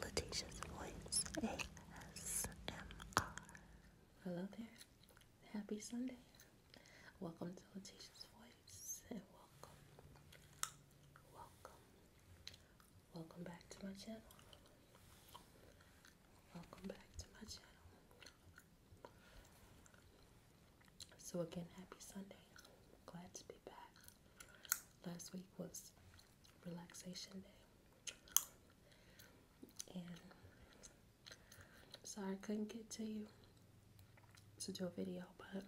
Letitia's Voice ASMR. Hello there. Happy Sunday. Welcome to Letitia's Voice and welcome, welcome, welcome back to my channel. Welcome back to my channel. So again, happy Sunday. Glad to be back. Last week was relaxation day. And i sorry I couldn't get to you to do a video, but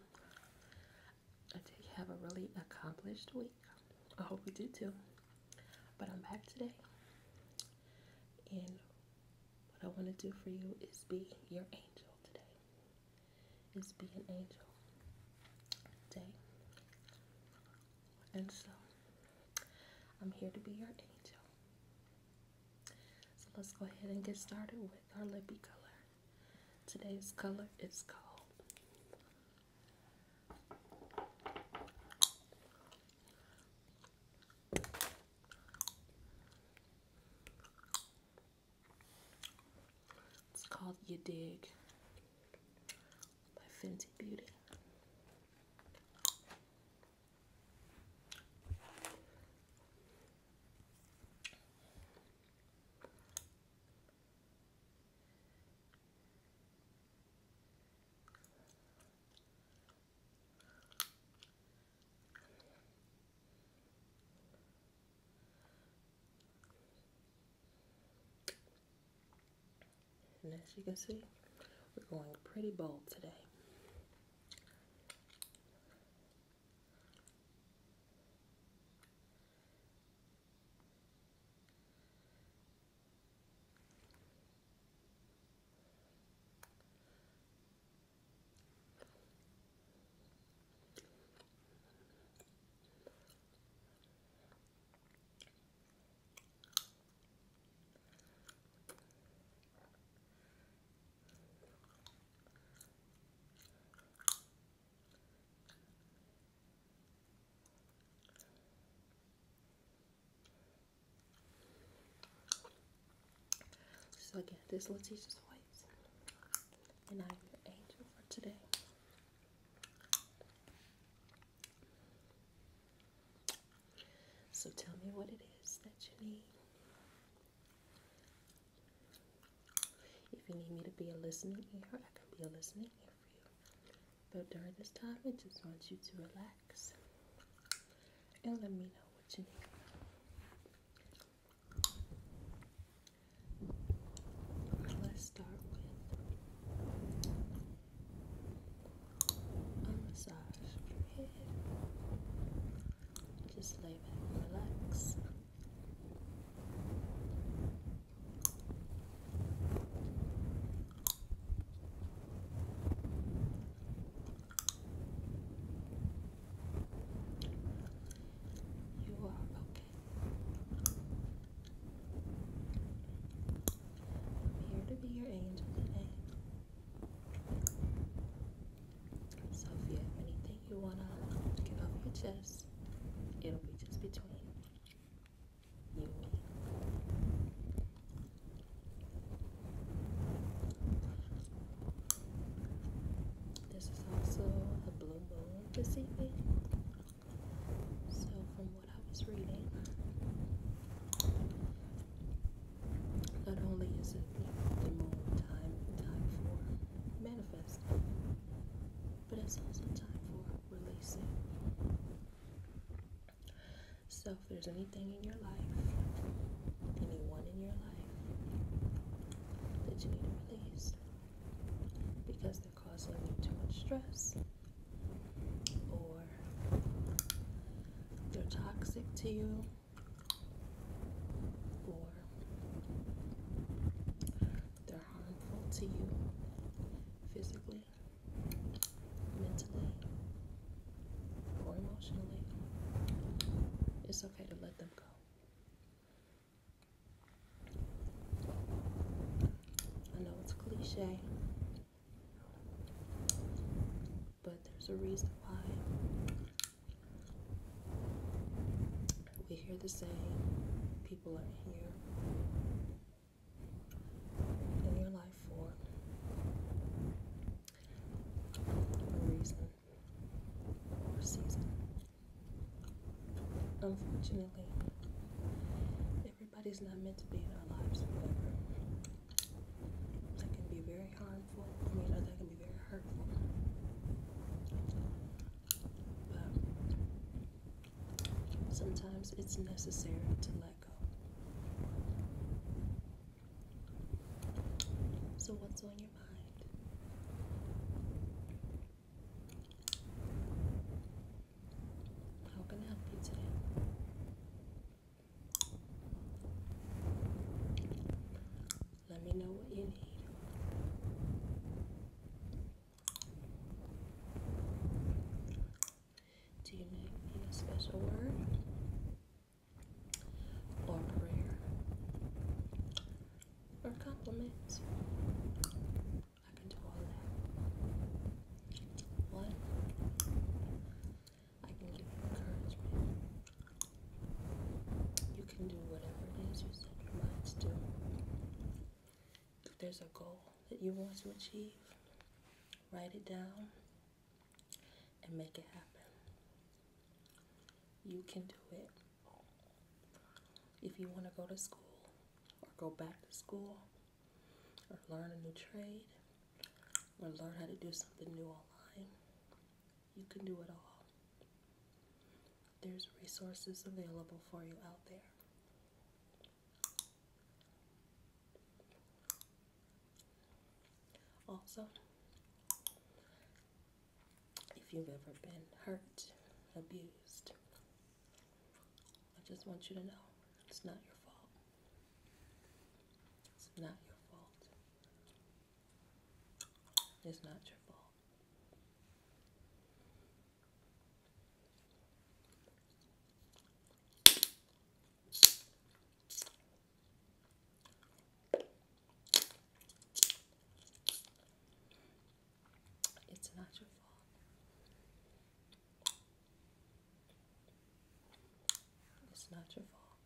I did have a really accomplished week. I hope you do too. But I'm back today. And what I want to do for you is be your angel today is be an angel day. And so I'm here to be your angel. So let's go ahead and get started with our lippy color. Today's color is called it's called You Dig by Fenty Beauty. And as you can see, we're going pretty bold today. So again, this is Letitia's voice, and I'm your angel for today. So tell me what it is that you need. If you need me to be a listening ear, I can be a listening ear for you. But during this time, I just want you to relax and let me know what you need. Let's start with a massage Just lay back and relax. You are okay. I'm here to be your angel today. So if you have anything you wanna get off your chest, it'll be just between you and me. This is also a blue moon this evening. So, from what I was reading, not only is it the moon time, time for manifesting, but it's also time for releasing. So, if there's anything in your life, anyone in your life that you need to release, because they're causing you too much stress or they're toxic to you or they're harmful to you physically, mentally, or emotionally, it's okay to let them go. I know it's cliche, but there's a reason why we hear the saying people are here in your life for a reason or a season. Unfortunately, everybody's not meant to be in our lives forever. That can be very harmful. I mean, that can be very hurtful. But sometimes it's necessary to let go. So, what's on your mind? I hope I can help you today. Let me know what you need. Do you need a special word or prayer or compliments? I can do all that. What? I can give you encouragement. You can do whatever it is you set your mind to If there's a goal that you want to achieve, write it down and make it happen. You can do it. If you want to go to school or go back to school, or learn a new trade or learn how to do something new online, you can do it all. There's resources available for you out there. Also, if you've ever been hurt, abused, I just want you to know it's not your fault. It's not your fault. It's not your fault. It's not your fault. It's not your fault.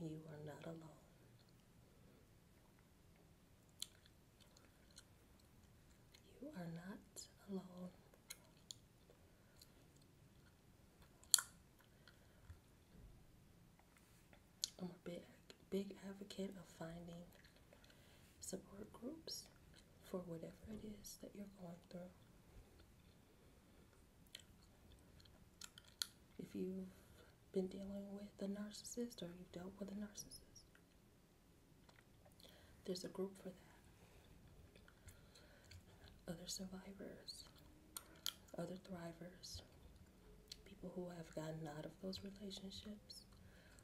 And you are not alone. You are not alone. I'm a big, big advocate of finding support groups for whatever it is that you're going through. If you've been dealing with a narcissist or you've dealt with a narcissist, there's a group for that. Other survivors, other thrivers, people who have gotten out of those relationships,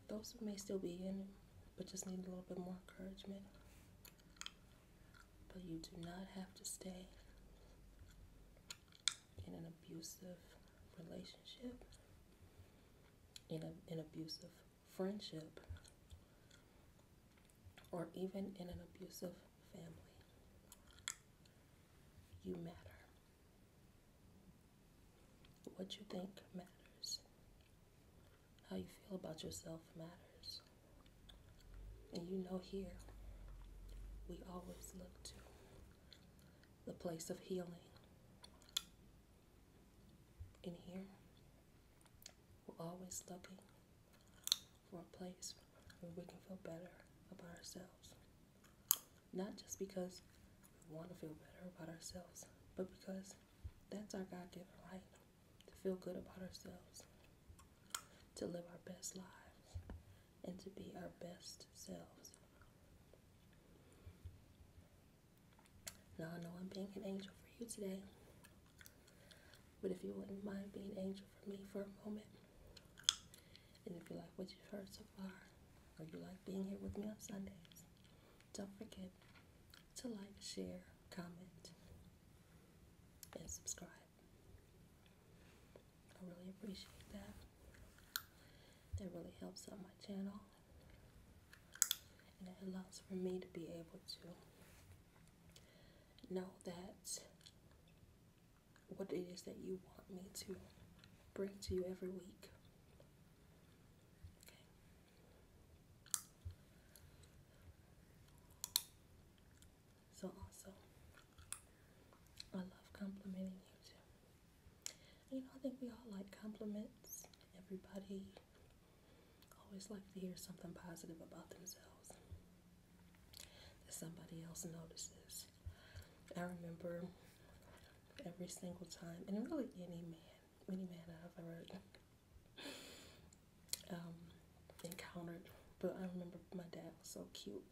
those may still be in it, but just need a little bit more encouragement. But you do not have to stay in an abusive relationship, in an abusive friendship, or even in an abusive family. You matter. What you think matters. How you feel about yourself matters. And you know, here we always look to the place of healing. In here, we're always looking for a place where we can feel better about ourselves. Not just because we want to feel better about ourselves, but because that's our God given right to feel good about ourselves, to live our best lives, and to be our best selves. Now, I know I'm being an angel for you today, but if you wouldn't mind being an angel for me for a moment, and if you like what you've heard so far, or you like being here with me on Sundays, don't forget to like, share, comment, and subscribe. I really appreciate that. That really helps out my channel. And it allows for me to be able to know that what it is that you want me to bring to you every week. Okay. So also, I love complimenting you too. you know, I think we all like compliments. Everybody always like to hear something positive about themselves. That somebody else notices. I remember every single time, and really any man mini man I've ever um, encountered. But I remember my dad was so cute.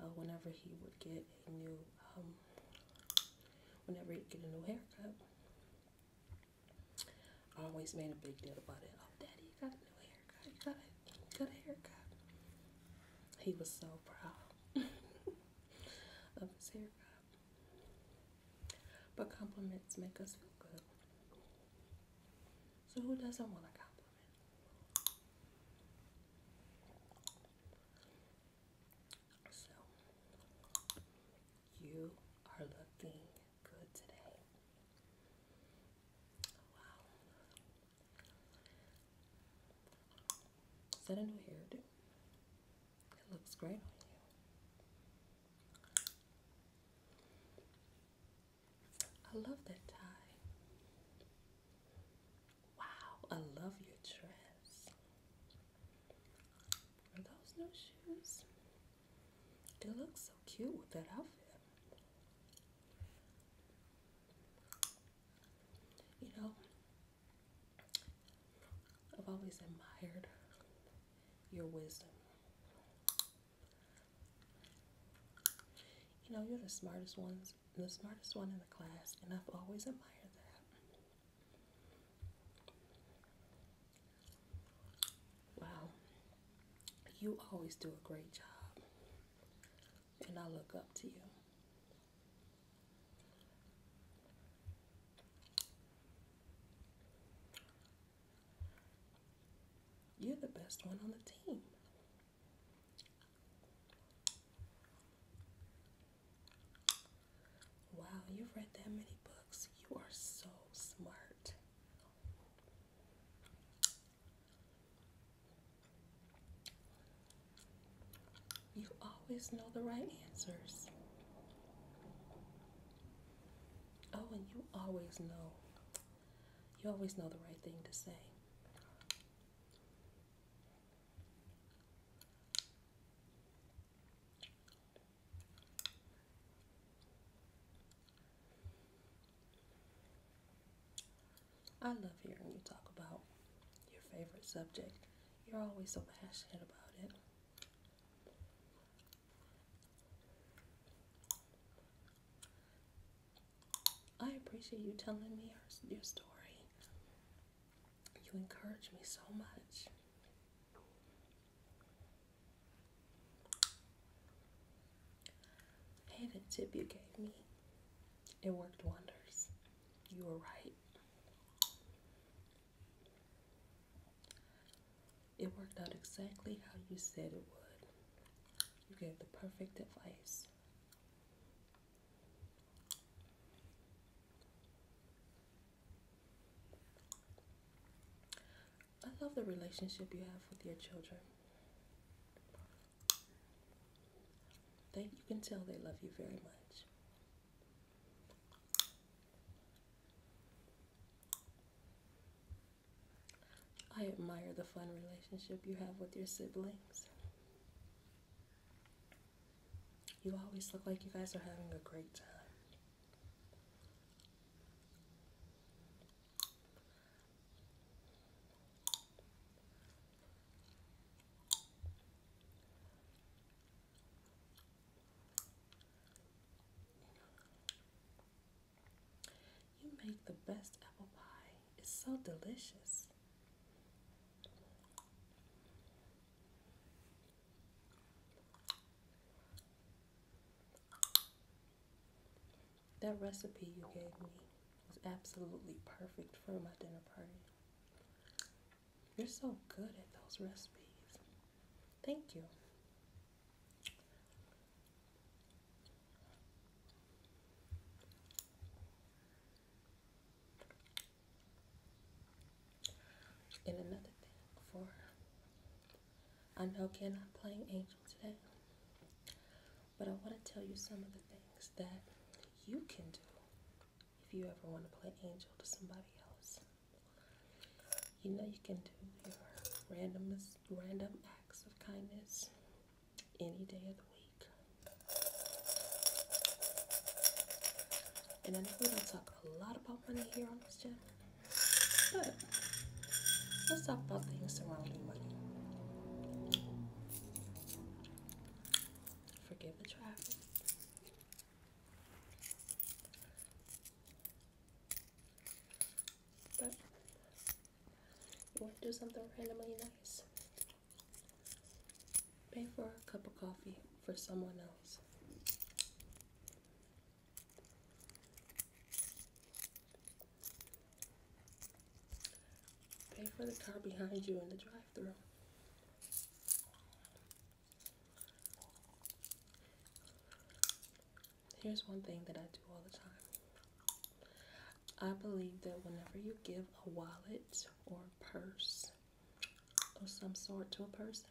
Uh, whenever he would get a new, um, whenever he get a new haircut, always made a big deal about it. Oh, daddy, you got a new haircut. got a, you got a haircut. He was so proud of his haircut. But compliments make us feel good. So who doesn't want a compliment? So you are looking good today. Wow. Is that a new hairdo? It looks great on you. I love that tie. Wow, I love your dress. Are those new shoes? They look so cute with that outfit. You know, I've always admired your wisdom. You know, you're the smartest one, the smartest one in the class, and I've always admired that. Wow. You always do a great job, and I look up to you. You're the best one on the team. Wow, you've read that many books. You are so smart. You always know the right answers. Oh, and you always know. You always know the right thing to say. I love hearing you talk about your favorite subject. You're always so passionate about it. I appreciate you telling me your, story. You encourage me so much. Hey, the tip you gave me, it worked wonders. You were right. It worked out exactly how you said it would. You gave the perfect advice. I love the relationship you have with your children. That you can tell they love you very much. I admire the fun relationship you have with your siblings. You always look like you guys are having a great time. You make the best apple pie. It's so delicious. That recipe you gave me was absolutely perfect for my dinner party. You're so good at those recipes. Thank you. And another thing for I know again I'm playing angel today, but I want to tell you some of the things that you can do if you ever want to play angel to somebody else. You know you can do your random random acts of kindness any day of the week. And I know we don't talk a lot about money here on this channel, but let's talk about things surrounding money. Forgive the traffic. But you want to do something randomly nice? Pay for a cup of coffee for someone else. Pay for the car behind you in the drive through Here's one thing that I do all the time. I believe that whenever you give a wallet or purse or some sort to a person,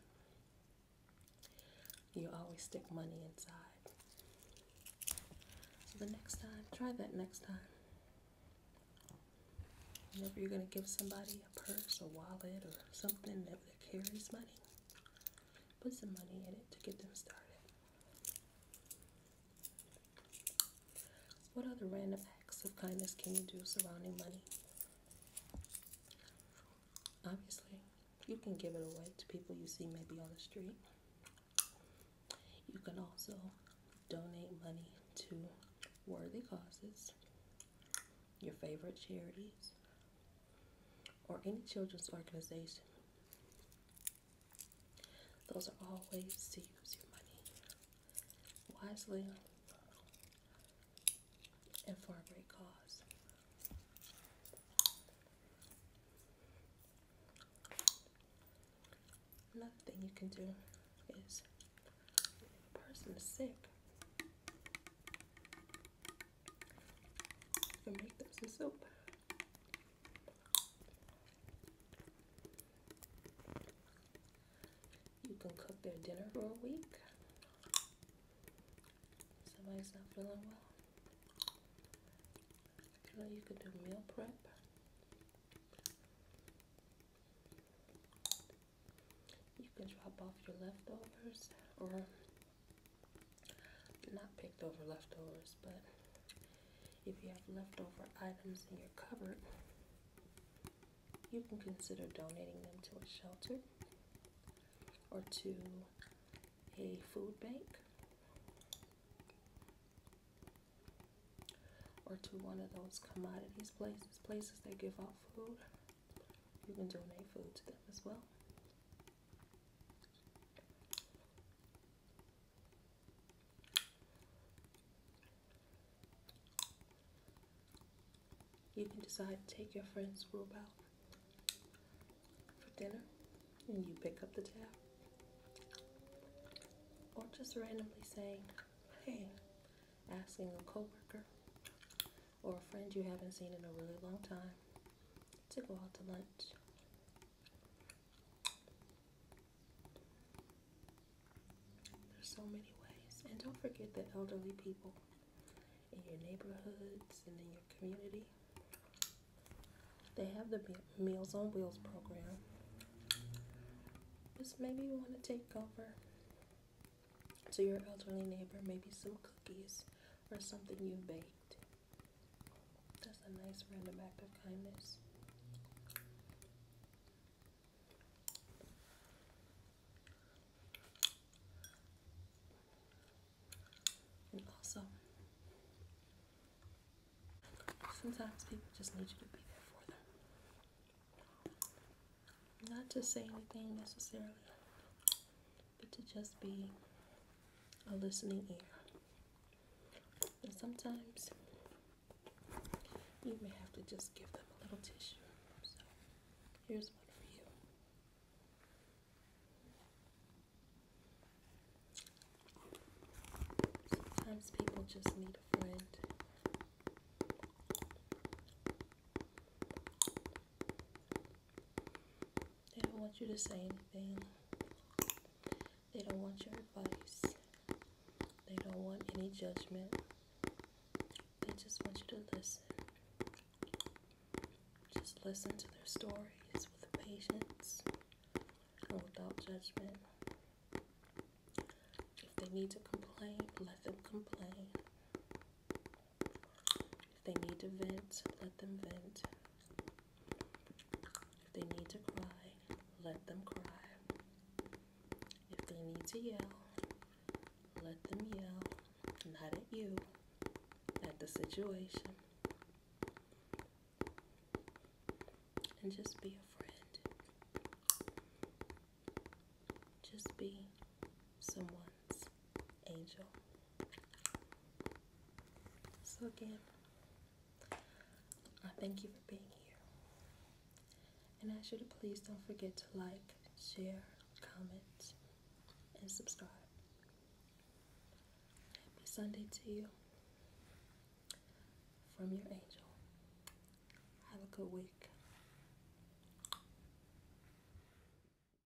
you always stick money inside. So the next time, try that next time. Whenever you're going to give somebody a purse, or wallet, or something that carries money, Put some money in it to get them started. What other random acts of kindness can you do surrounding money? Obviously, you can give it away to people you see maybe on the street. You can also donate money to worthy causes, your favorite charities, or any children's organization. Those are all ways to use your money wisely and for a great cause. Another thing you can do is if a person is sick, and make them some soup. You can cook their dinner for a week. Somebody's not feeling well. You can do meal prep. You can drop off your leftovers or not picked over leftovers, but if you have leftover items in your cupboard, you can consider donating them to a shelter or to a food bank or to one of those commodities places, places that give out food. You can donate food to them as well. You can decide to take your friend's group out for dinner and you pick up the tab. Or just randomly saying, hey, asking a coworker or a friend you haven't seen in a really long time to go out to lunch. There's so many ways. And don't forget the elderly people in your neighborhoods and in your community. They have the Meals on Wheels program. Just maybe you want to take over to your elderly neighbor, maybe some cookies or something you baked. That's a nice random act of kindness. And also, sometimes people just need you to be there for them. Not to say anything necessarily, but to just be a listening ear. And sometimes you may have to just give them a little tissue. So here's one for you. Sometimes people just need a friend. They don't want you to say anything. They don't want your advice. They don't want any judgment. They just want you to listen. Just listen to their stories with patience and without judgment. If they need to complain, let them complain. If they need to vent, let them vent. If they need to cry, let them cry. If they need to yell, let them yell. Not at you, at the situation. And just be a friend. Just be someone's angel. So, again, I thank you for being here. And I ask you to please don't forget to like, share, comment, and subscribe. Happy Sunday to you from your angel. Have a good week.